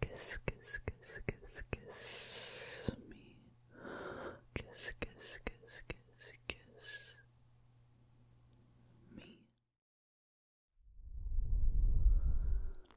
Kiss, kiss, kiss, kiss, kiss me. Kiss, kiss, kiss, kiss, kiss me.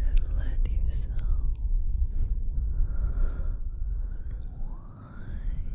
and let yourself unwind, unwind.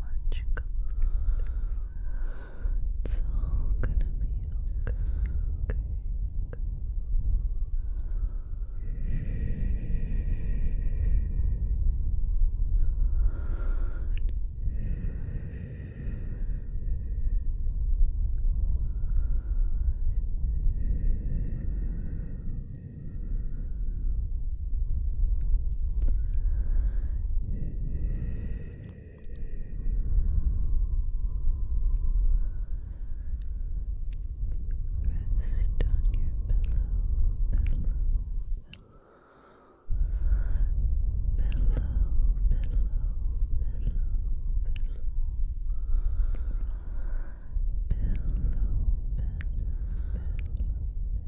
much. Come It's all gonna be okay pillow,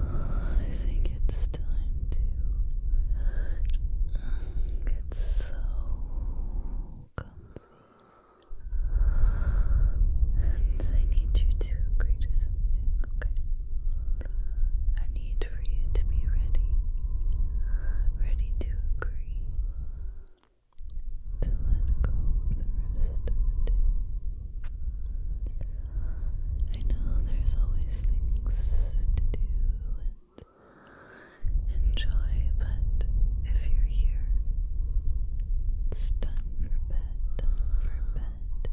I think it's time to get so comfy. I need you to agree to something, okay? I need for you to be ready, ready to agree to let go of the rest of the I know there's always things to do and enjoy, but if you're here, it's time for bed, for bed, for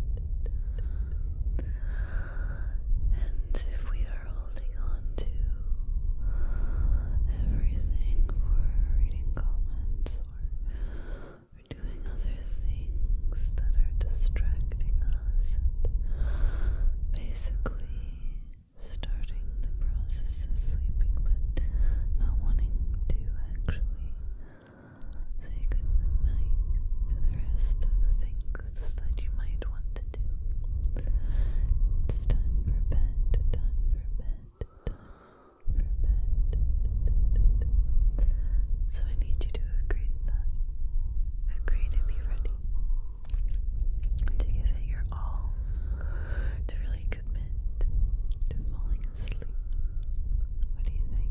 bed. And if we are holding on to everything for reading comments we're doing other things that are distracting us and basically starting the process of sleeping but not wanting to actually say good to the rest of the things that you might want to do. It's time for bed, time for bed, for So I need you to agree to that. Agree to be ready. To give it your all. To really commit to falling asleep. What do you think?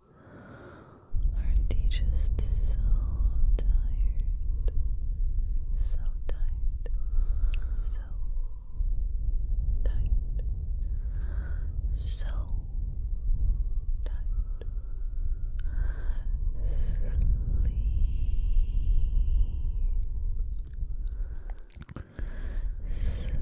Aren't you just so tired? So tired. So tired. So tired. Sleep. Sleep.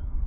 So relaxed.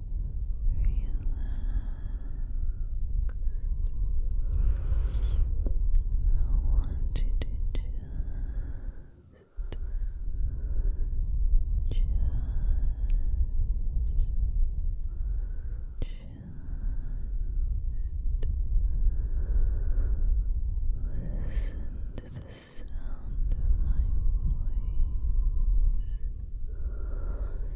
I want you to just, just, just listen to the sound of my voice.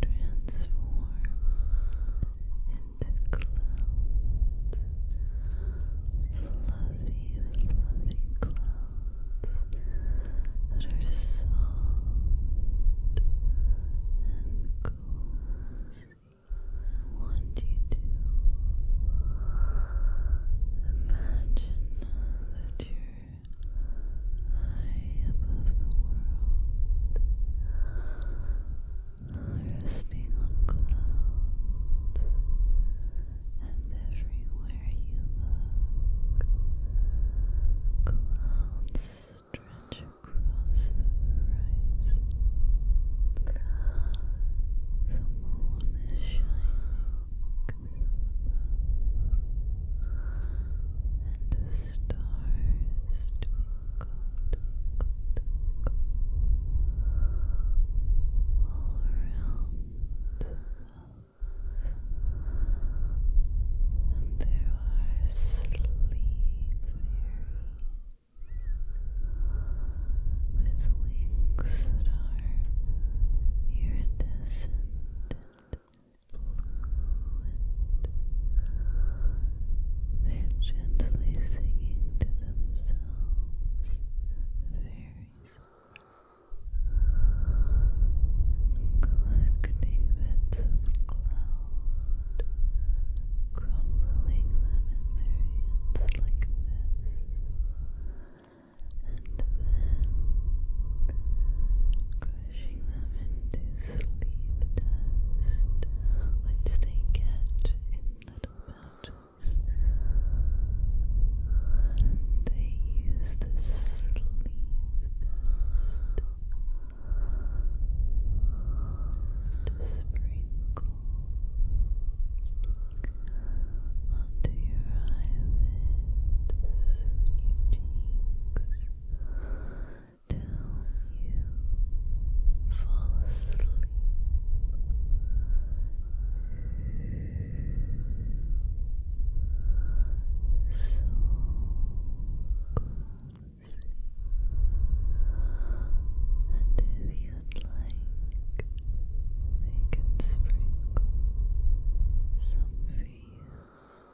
transform into clouds, fluffy, fluffy clouds that are soft and cozy. I want you to imagine that you're high above the world, resting on clouds, and everywhere you look, clouds stretch across the horizon. The moon is shining and the stars twinkle, all around and there are sleep with wings that are iridescent fluent. They're gently singing to themselves, the fairies, collecting bits of cloud, crumbling them in their hands like this, and then pushing them into sleep dust, which they catch in little pouches. they use this sleep dust to sprinkle onto your eyelids, your cheeks till you fall asleep. So cozy. And if you'd like, they can sprinkle some for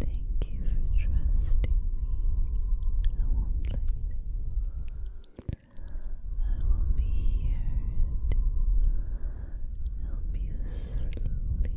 Thank you for trusting me. I won't let I will be here to help you Sleep. Sleep. Sleep.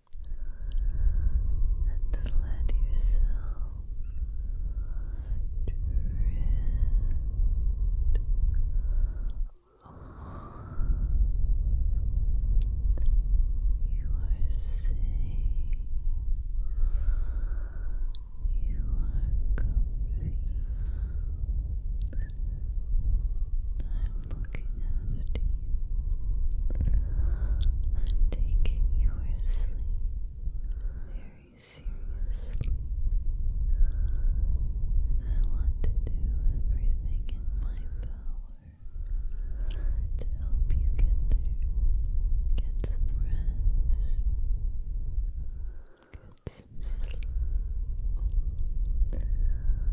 and let yourself drift You are safe. You are comfy looking you. I'm taking your sleep very seriously. I want to do everything in my power to help you get there. Get some rest. Get some sleep.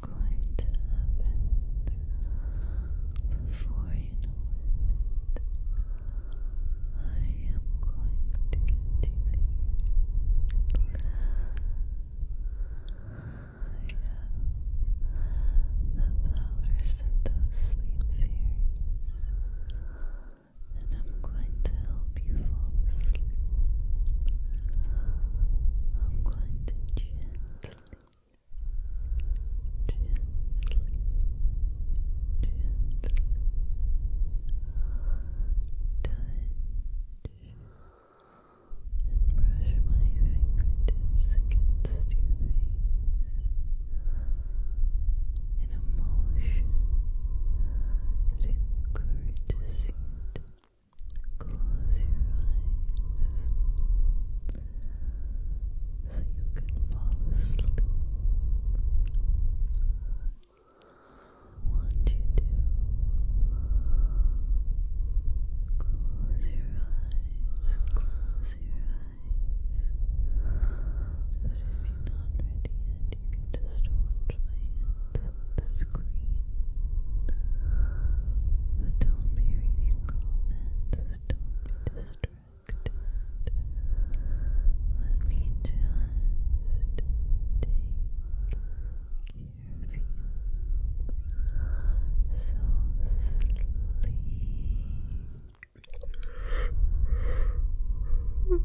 going to happen before you know it. I am going to get you I have the powers of those sleep fairies, and I'm going to help help you I'm going to gently, gently, gently touch and brush my fingertips against your face in a motion that encourages you Close your eyes so you can fall asleep. What you do? Close your eyes. Close your eyes. But if you're not ready yet, you can just watch my hands the don't be reading don't be distracted. Let me just take care of you. So sleep.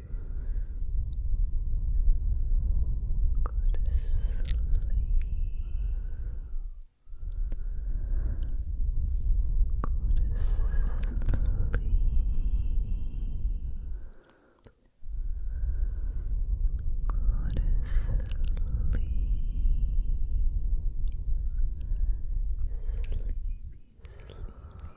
Good sleep. Good sleep. sleep. Sleepy, sleepy, sleepy, sleepy, sleepy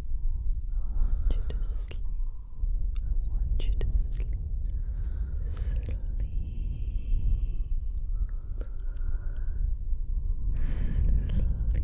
want you to sleep. I want you to sleep. Sleep. Sleep. Go sleep. Go sleep.